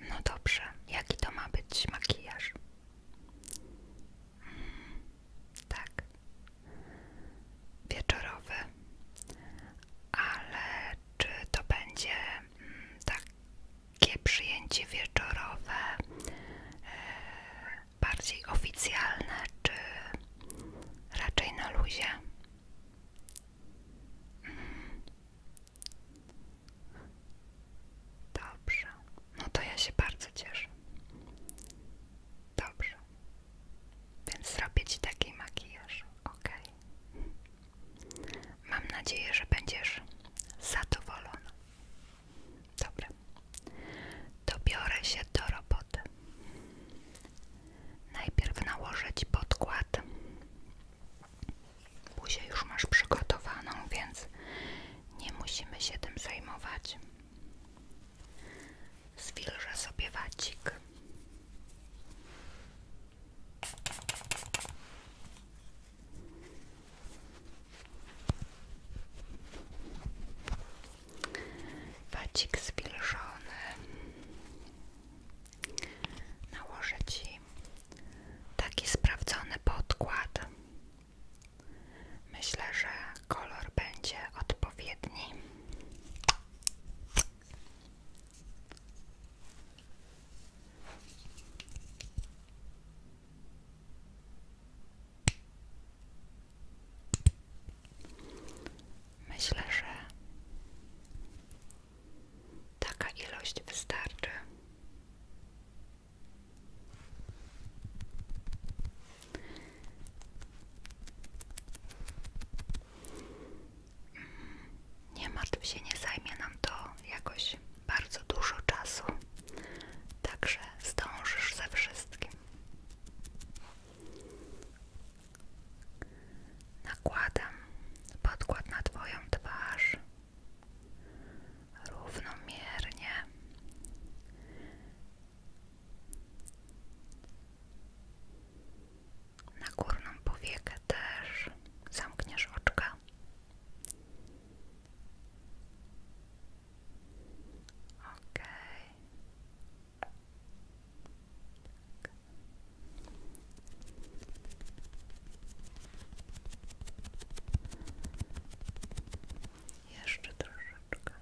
No dobrze, jaki to ma być makijaż? Mm, tak, wieczorowy, ale czy to będzie mm, takie przyjęcie wieczorowe, e, bardziej oficjalne, czy raczej na luzie? Dobrze. No to ja się bardzo cieszę. Dobrze. Więc zrobię ci taki makijaż, ok? Mam nadzieję, że będziesz zadowolona. Dobra. Dobiorę się do roboty. Najpierw nałożyć podkład. Buzię już masz przygotowaną, więc nie musimy się tym zajmować. Zwilżę sobie wacik wacik zwilżony nałożę Ci taki sprawdzony podkład myślę, że kolor będzie odpowiedni Myślę, że taka ilość wystarczy. Nie martw się, nie zajmie nam to jakoś bardzo dużo czasu, także zdążysz ze wszystkim. Nakładam podkład na Twoją twarz równomiernie. Na górną powiekę też zamkniesz oczka. Okej. Jeszcze troszeczkę.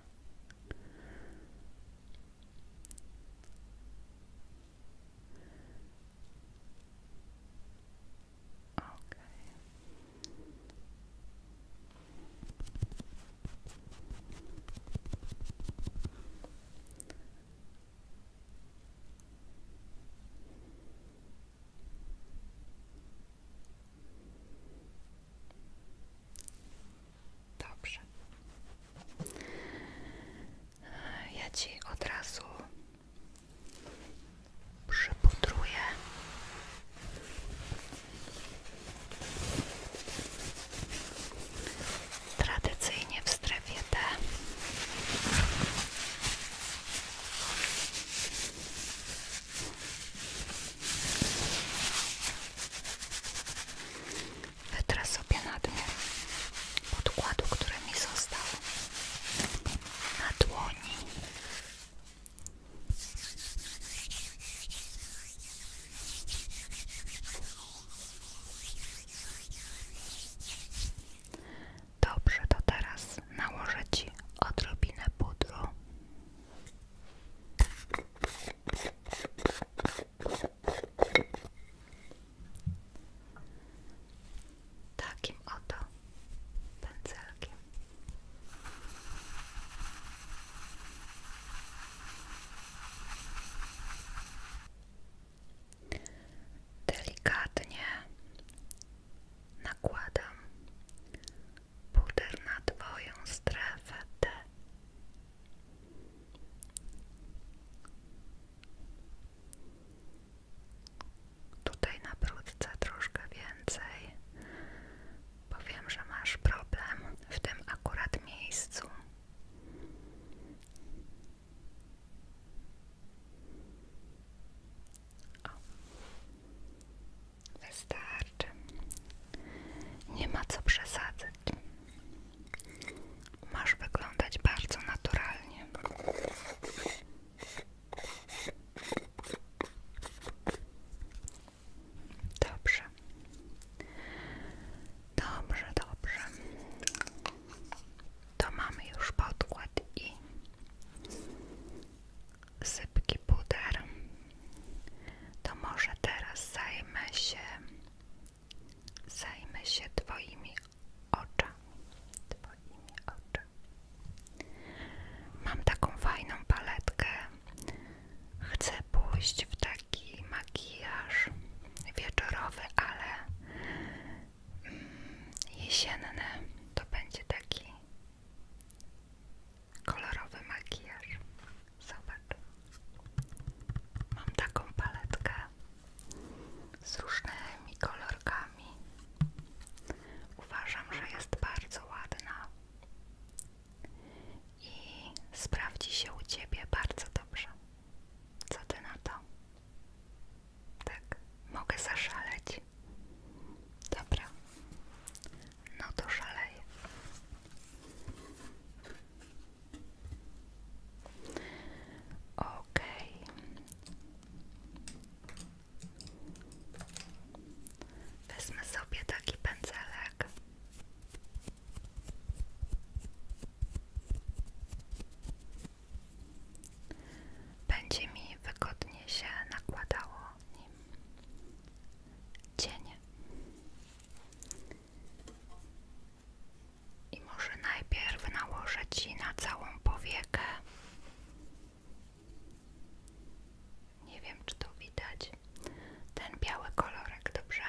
Dobrze. Ja ci od razu przypudruję Tradycyjnie w strefie D. Wytrę sobie nadmiar podkładu, który mi został na dłoni. Dobrze, to teraz nałożę Ci odrobinę pudru. Takim oto pędzelkiem. Delikatnie nakładam puder na Twoją strefę Tutaj na brudce troszkę więcej, bo wiem, że masz problem w tym akurat miejscu. O. Nie ma co przesadzać. Masz wyglądać bardzo naturalnie. Dobrze. Dobrze, dobrze. To mamy już podkład i sypki puder. To może teraz zajmę się zajmę się twoimi oczami. Twoimi oczami. Mam taką fajną paletkę. Chcę pójść w taki taki makijaż wieczorowy, ale mm, jesienny to będzie taki kolorowy makijaż. Zobacz. Mam taką paletkę z różnymi kolorkami. Uważam, że jest bardzo ładna i sprawdzi się u Ciebie bardzo dobrze. Co Ty na to? Tak, mogę zaszaleć. Dobra, no to szaleję. Okej. Okay. Wezmę sobie taki pędzelek będzie mi wygodnie się nakładało nim cienie. I może najpierw nałożę ci na całą powiekę. Nie wiem, czy to widać. Ten biały kolorek, dobrze?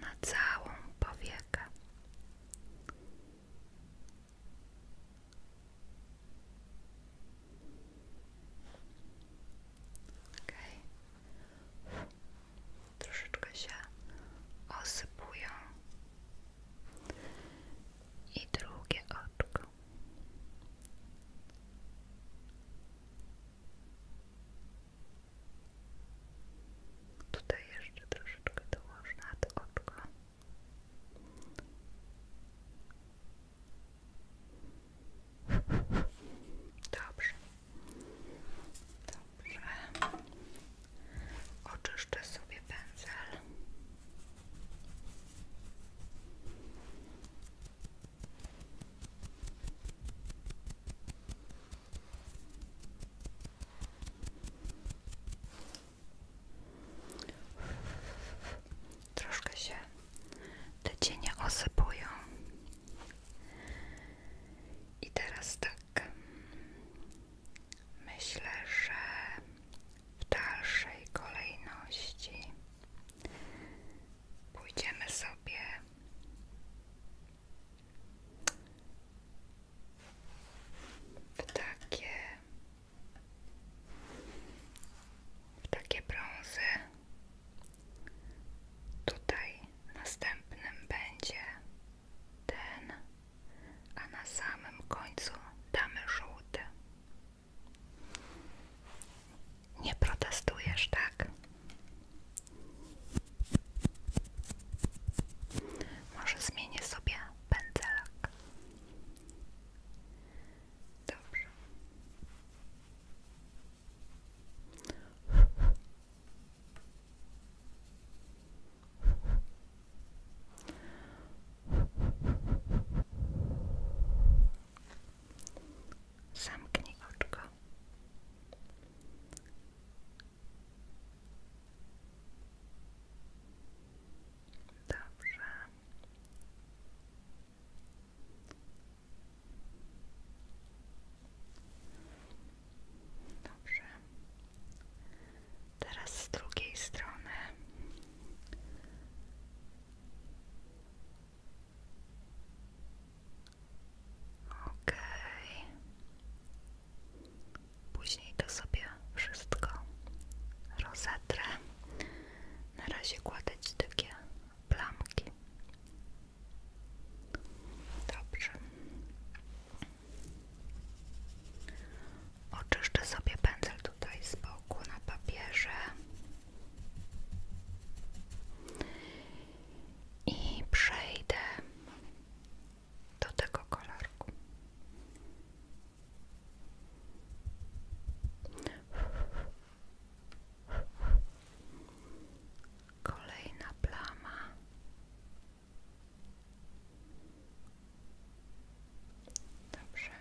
Na całą powiekę. Troszeczkę się osypują. I drugie oczko. Tutaj jeszcze troszeczkę dołożę na to oczko. Dobrze. Dobrze. Oczyszczę sobie pędzel troszkę się te cienie osypują. I teraz tak, myślę, że w dalszej kolejności pójdziemy sobie w takie w takie brązy. Tutaj następnym będzie ten, a na samym końcu damy żółty. Nie protestujesz, tak? Może zmienię sobie pędzelek. Dobrze. Zamknij oczko. Dobrze. Dobrze. Teraz z drugiej strony. Okej. Okay. Później to sobie wszystko rozetrę. Na razie kładę ci takie plamki. Dobrze. Oczyszczę sobie pędzel tutaj z boku na papierze. I przejdę do tego kolorku. Kolejna plama. Dobrze.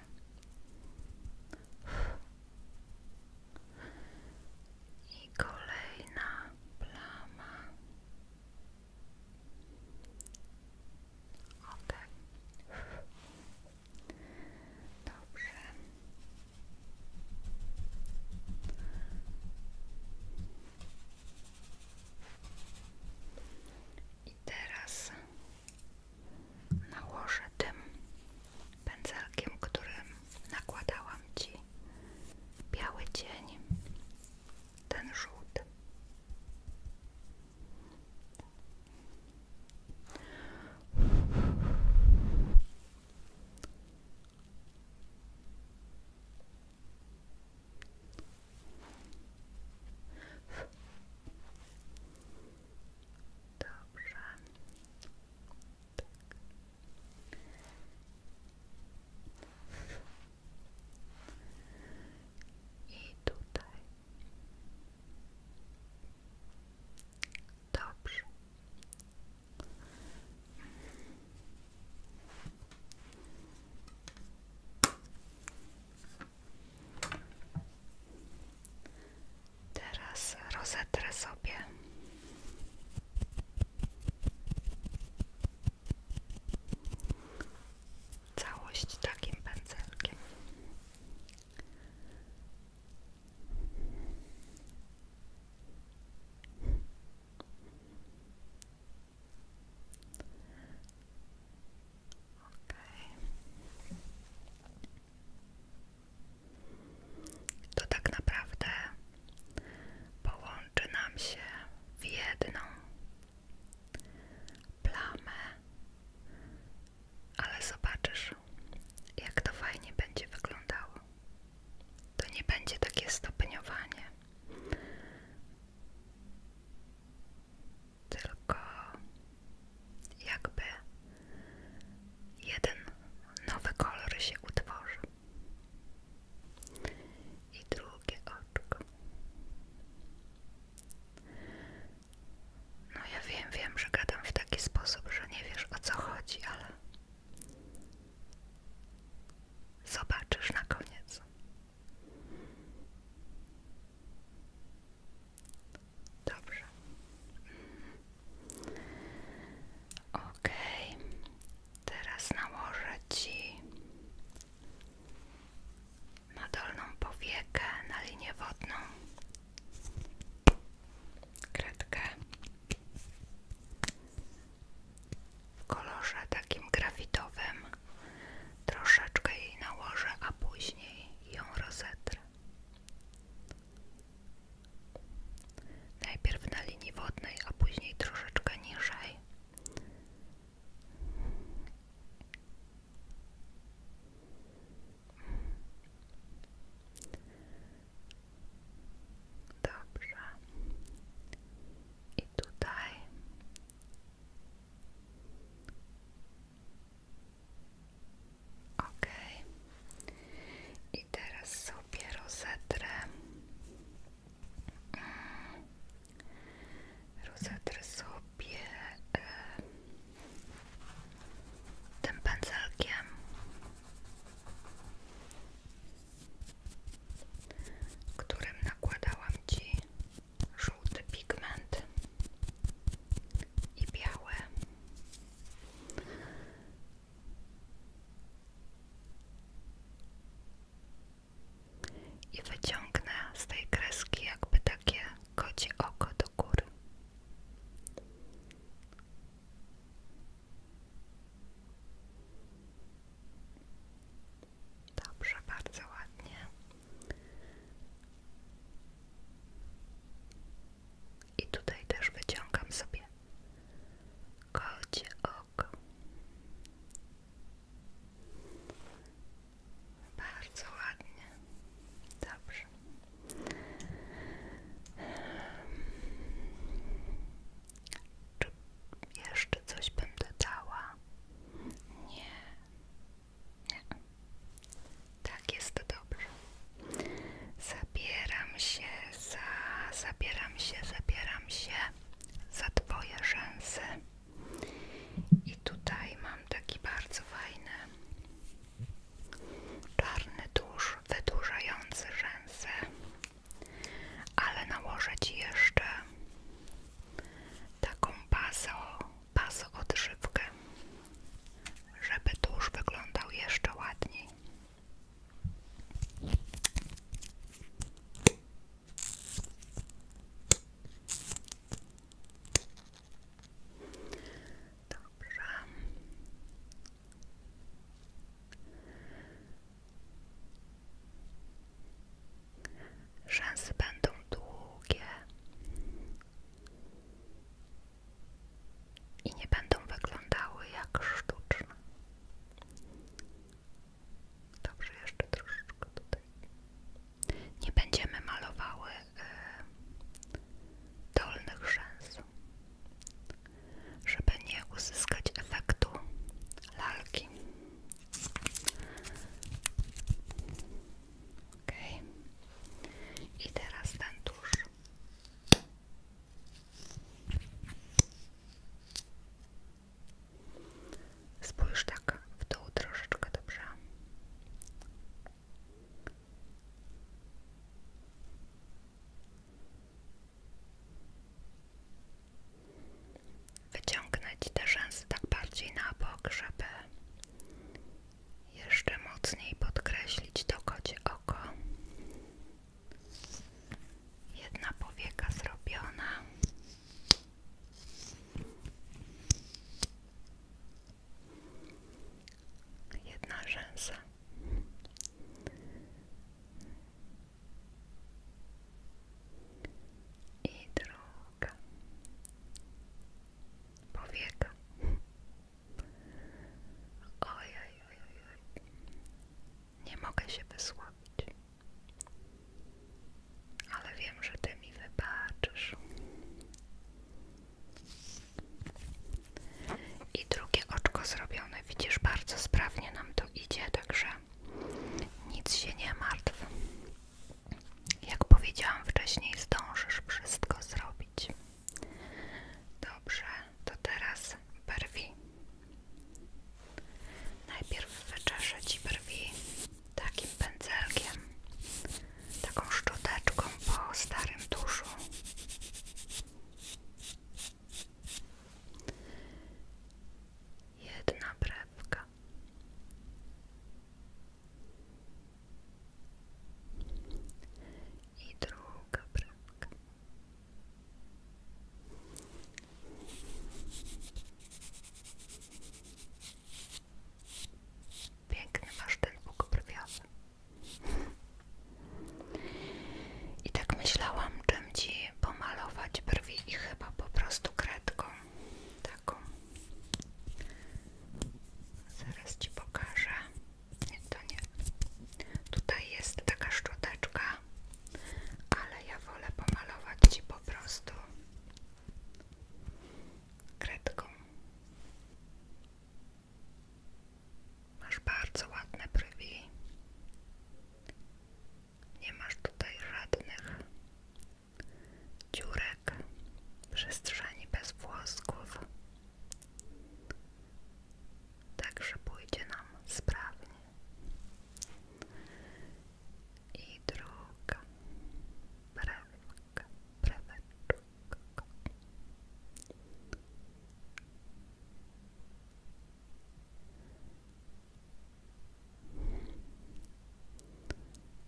I kolejna plama. Okej. Dobrze. I teraz nałożę tym pędzelkiem, którym nakładałam Ci biały cień, ten żółty. Dobrze. Tak. I tutaj Dobrze. Teraz rozetrę sobie. Całość takim pędzelkiem. To tak naprawdę połączy nam się w jedną plamę ale zobaczysz, jak to fajnie będzie wyglądało. To nie będzie takie stopniowanie, tylko jakby jeden nowy kolor się utworzy. I drugie oczko. No ja wiem, wiem, że gadam w taki sposób, że nie wiesz o co chodzi, ale zobaczysz na koniec. Dobrze. Okej, okay. teraz nałożę Ci na dolną powiekę, na linię wodną kredkę w kolorze takim grafitowym troszeczkę jej nałożę, a później ją rozetrę najpierw na linii wodnej, a później troszeczkę niżej Dobrze. I tutaj ok. I teraz sobie rozetrę mm. rozetrę sobie e, tym pędzelkiem którym nakładałam Ci żółty pigment i biały i wyciągnę z tej kreski jakby takie koci oko do Dobrze, bardzo ładnie. I tutaj też wyciągam sobie kocie bardzo ładnie. Dobrze. Czy jeszcze coś bym dodała? Nie. Nie. Tak jest dobrze. Zabieram się za... Zabieram się, zabieram się za twoje rzęsy. I tutaj mam taki bardzo fajny czarny tusz wydłużający rzęsę, ale nałożę Ci jeszcze taką bazo, bazo odżywkę, żeby tusz wyglądał jeszcze ładniej. Dobrze. Rzęsy będą długie i nie będą wyglądały jak sztuczne. Dobrze, jeszcze troszeczkę tutaj. Nie będziemy malowały E, dolnych rzęs, żeby nie uzyskać efektu lalki. Ok. I teraz ten tusz. Spójrz tak w dół troszeczkę dobrze. Wyciągnąć te rzęsy tak bardziej na bok, żeby jeszcze mocniej podkreślić to kocie oko. Jedna powieka zrobiona. Jedna rzęsa. I druga. Powieka. Oj, oj, oj, oj. Nie mogę się wysłabić. Ale wiem, że ty mi wybaczysz. I drugie oczko zrobione. Widzisz, bardzo sprawnie nam to idzie, także nic się nie martw. Jak powiedziałam wcześniej, zdążysz wszystko zrobić. Dobrze, to teraz brwi. Najpierw wyczeszę ci brwi takim pędzelkiem taką szczoteczką po starym tuszu. Jedna brebka. I druga brebka. Piękny masz ten masztel brwiowy. I tak myślałam, czym ci pomalować brwi i chyba po prostu kredką taką. Zaraz ci pokażę. Nie, to nie. Tutaj jest taka szczoteczka, ale ja wolę pomalować ci po prostu kredką. Masz bardzo ładne brwi. Nie masz tutaj żadnych dziurek, przestrzeni bez włosków. Także pójdzie nam sprawnie. I druga brewka pryweczka, pryweczka.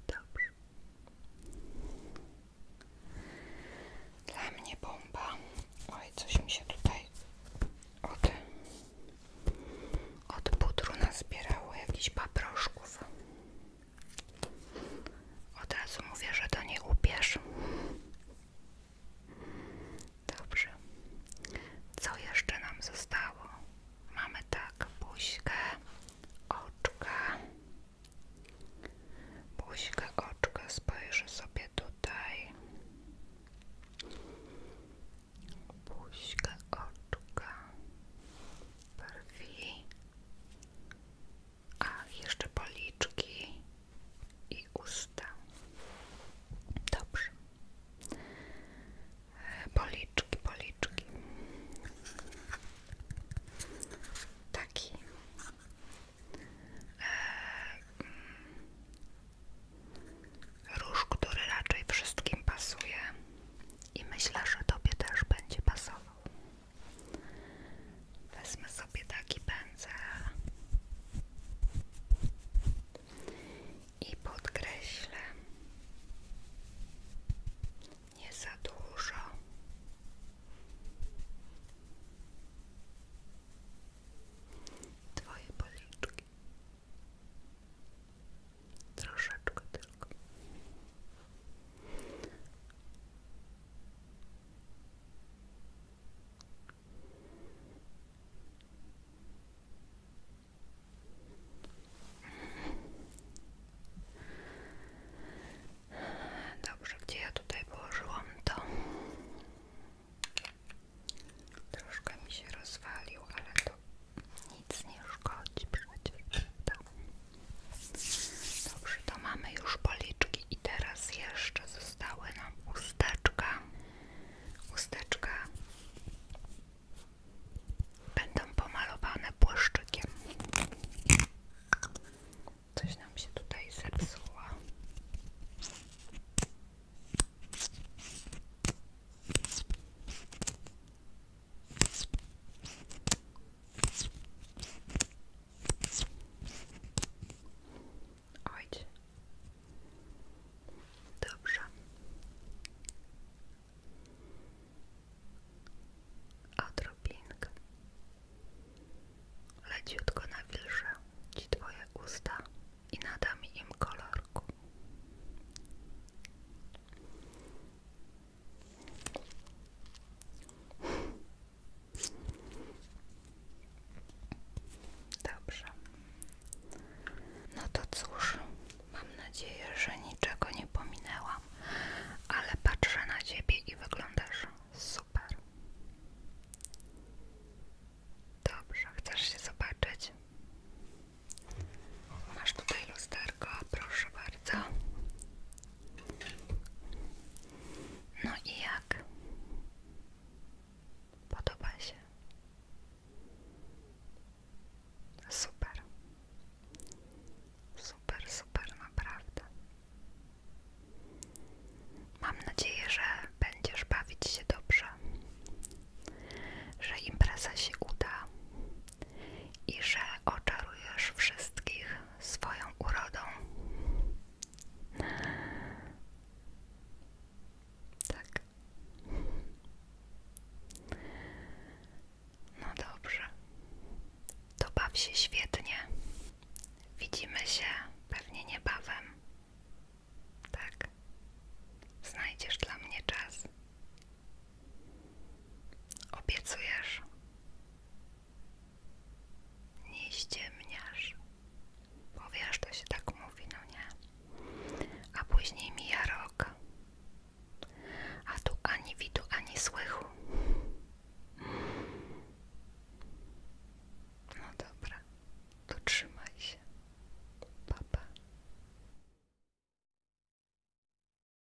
Dobrze. Dla mnie bomba. Oj, coś mi się tutaj od, od pudru nazbierało, jakichś paproszków. Od razu mówię, że to nie upiesz. Dobrze. Co jeszcze nam zostało? Mamy tak, buźkę, oczka. Buźkę, oczka, spojrzę sobie tutaj. Buźkę, oczka, brwi, a jeszcze policzki i usta. Dobrze. E, policzki, policzki. Taki. E, mm, rusz, który raczej wszystkim pasuje i myślę, że tobie też będzie pasował. Wezmę sobie taki pędzel i podkreślę nie za dużo. Twoje policzki. Troszeczkę tylko. Dobrze, gdzie ja tutaj położyłam to? Troszkę mi się rozwalił, ale to nic nie szkodzi Dobrze, to mamy już policzki i teraz jeszcze zostały nam usteczka. Usteczka będą pomalowane błyszczykiem. Coś nam się tutaj zepsuło. Ojcze. Dobrze. Odrobinkę. Leciutko nawilżę Ci Twoje usta i nadam im kolorku. Dobrze. No to cóż, mam nadzieję, że niczego nie pominęłam, ale patrzę na ciebie i wyglądasz super. Dobrze, chcesz się zobaczyć? Masz tutaj lusterko, proszę bardzo. No i jak? Podoba się? Super. Super, super, naprawdę. Mam nadzieję, że będziesz bawić się dobrze, że impreza się uda, i że oczarujesz wszystkich swoją urodą. Tak. No dobrze. To baw się świetnie. Widzimy się pewnie niebawem. Tak. Znajdziesz dla mnie czas. Obiecujesz? Nie ściemniasz. Bo to się tak mówi, no nie? A później mija rok. A tu ani widu, ani słychu. No dobra, to trzymaj się. Papa.